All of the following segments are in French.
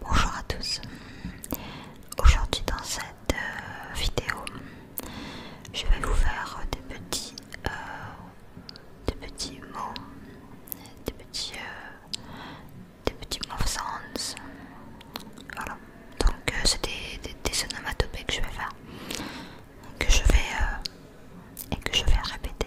Bonjour à tous, aujourd'hui dans cette euh, vidéo je vais vous faire des petits, euh, des petits mots, des petits, euh, des petits voilà, donc c'est des, des, onomatopées que je vais faire, que je vais, et que je vais répéter.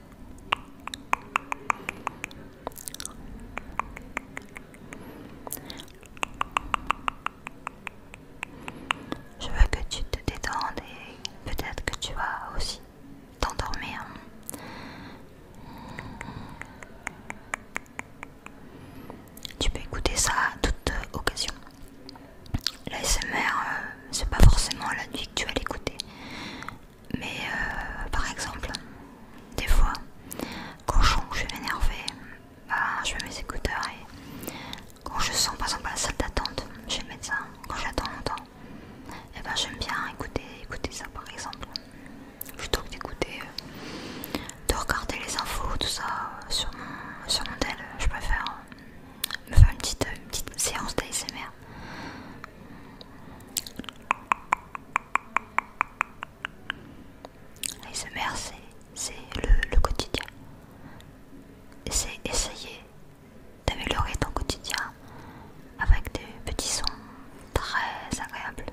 Je veux que tu te détendes et peut-être que tu vas aussi t'endormir. Tu peux écouter ça à toute occasion. L'ASMR, euh, c'est pas forcément la nuit que tu vas l'écouter. Mais euh, par exemple, des fois, quand je suis énervée, bah, je mets mes écouteurs et quand je sens par exemple la salle d'attente chez le médecin, quand j'attends longtemps, et eh ben, j'aime bien écouter, écouter ça par exemple. Plutôt que d'écouter, euh, de regarder les infos, tout ça euh, sur mon, sur tel, je préfère me faire une petite, une petite séance d'ASMR les c'est le, le quotidien. C'est essayer d'améliorer ton quotidien avec des petits sons très agréables.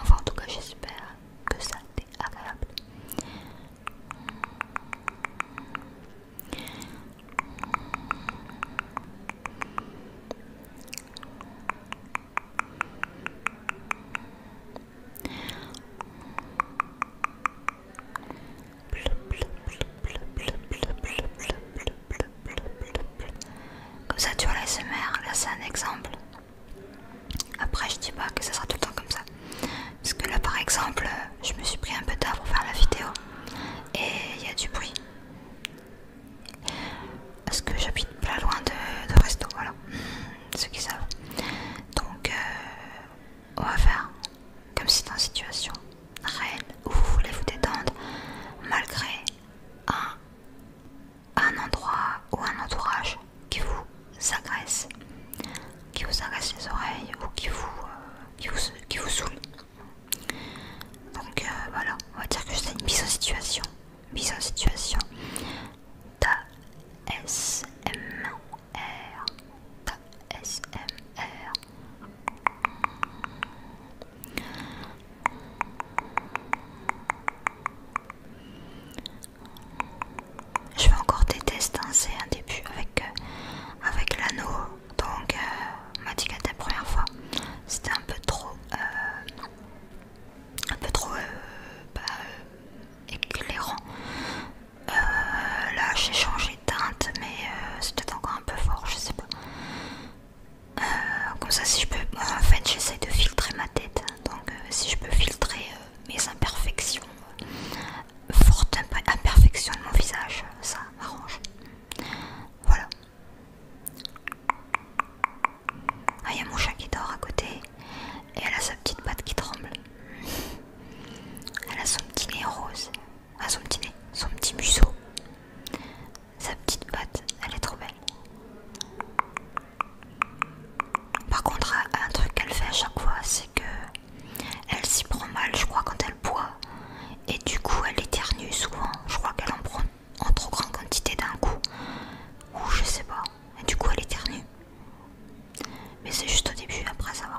Enfin, en tout cas, j'espère que ça t'est agréable. Comme ça tu vois la SMR, là c'est un exemple. Après je dis pas que ça sera tout le temps comme ça. Parce que là par exemple euh, je me suis pris un peu tard pour faire la vidéo et il y a du bruit. Parce que j'habite pas loin de, de resto, voilà, mm, ceux qui savent. Donc euh, on va faire comme si dans une situation réelle où vous voulez vous détendre malgré un, un endroit ou un entourage qui vous agresse qui vous agacent les oreilles ou qui vous, euh, qui vous, qui vous Donc euh, voilà, on va dire que c'est une mise en situation. Mise en situation. t s m r t s m r Je vais encore détester hein, un début avec euh, avec l'anneau. Donc, euh, m'a dit la première fois, c'était un peu trop, euh, un peu trop euh, bah, éclairant. là, j'ai changé de teinte, mais c'était encore un peu fort, je sais pas. comme ça, si je peux, en fait, j'essaie de filtrer ma tête, donc si je peux filtrer mes imperfections, forte imperfection de mon visage, ça m'arrange. Voilà. Ah, il y a mon chat qui dort à côté et elle a sa petite patte qui tremble. Elle a son petit nez rose. à ah, son petit nez, son petit museau. Sa petite patte, elle est trop belle. Par contre, un truc qu'elle fait à chaque fois, c'est que elle s'y prend mal, je crois, quand elle boit. Et du coup, elle éternue souvent. Je crois qu'elle en prend en trop grande quantité d'un coup. Ou je sais pas. Et du coup, elle éternue. Mais c'est juste au début, après ça va.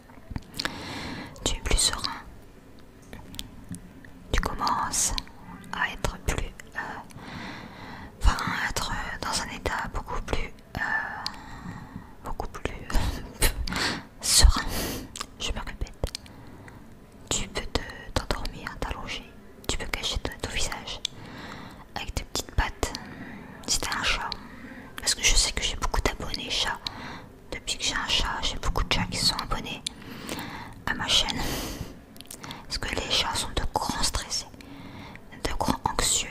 Tu es plus serein. Tu commences à être plus... Euh, enfin, à être dans un état beaucoup plus... Euh, beaucoup plus... Euh, serein. Je me répète. Tu peux t'endormir, t'allonger. Tu peux cacher ton, visage avec tes petites pattes. Si un chat. Parce que je sais que j'ai beaucoup d'abonnés chats. Depuis que j'ai un chat, j'ai beaucoup de chats qui sont abonnés à ma chaîne. Parce que les chats sont de grands stressés, de grands anxieux.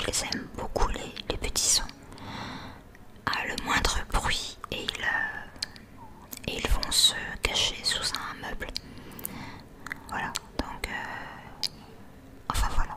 Ils aiment beaucoup les, petits sons. À ah, le moindre bruit euh, et ils, vont se cacher sous un meuble. Voilà, donc... Euh, enfin voilà.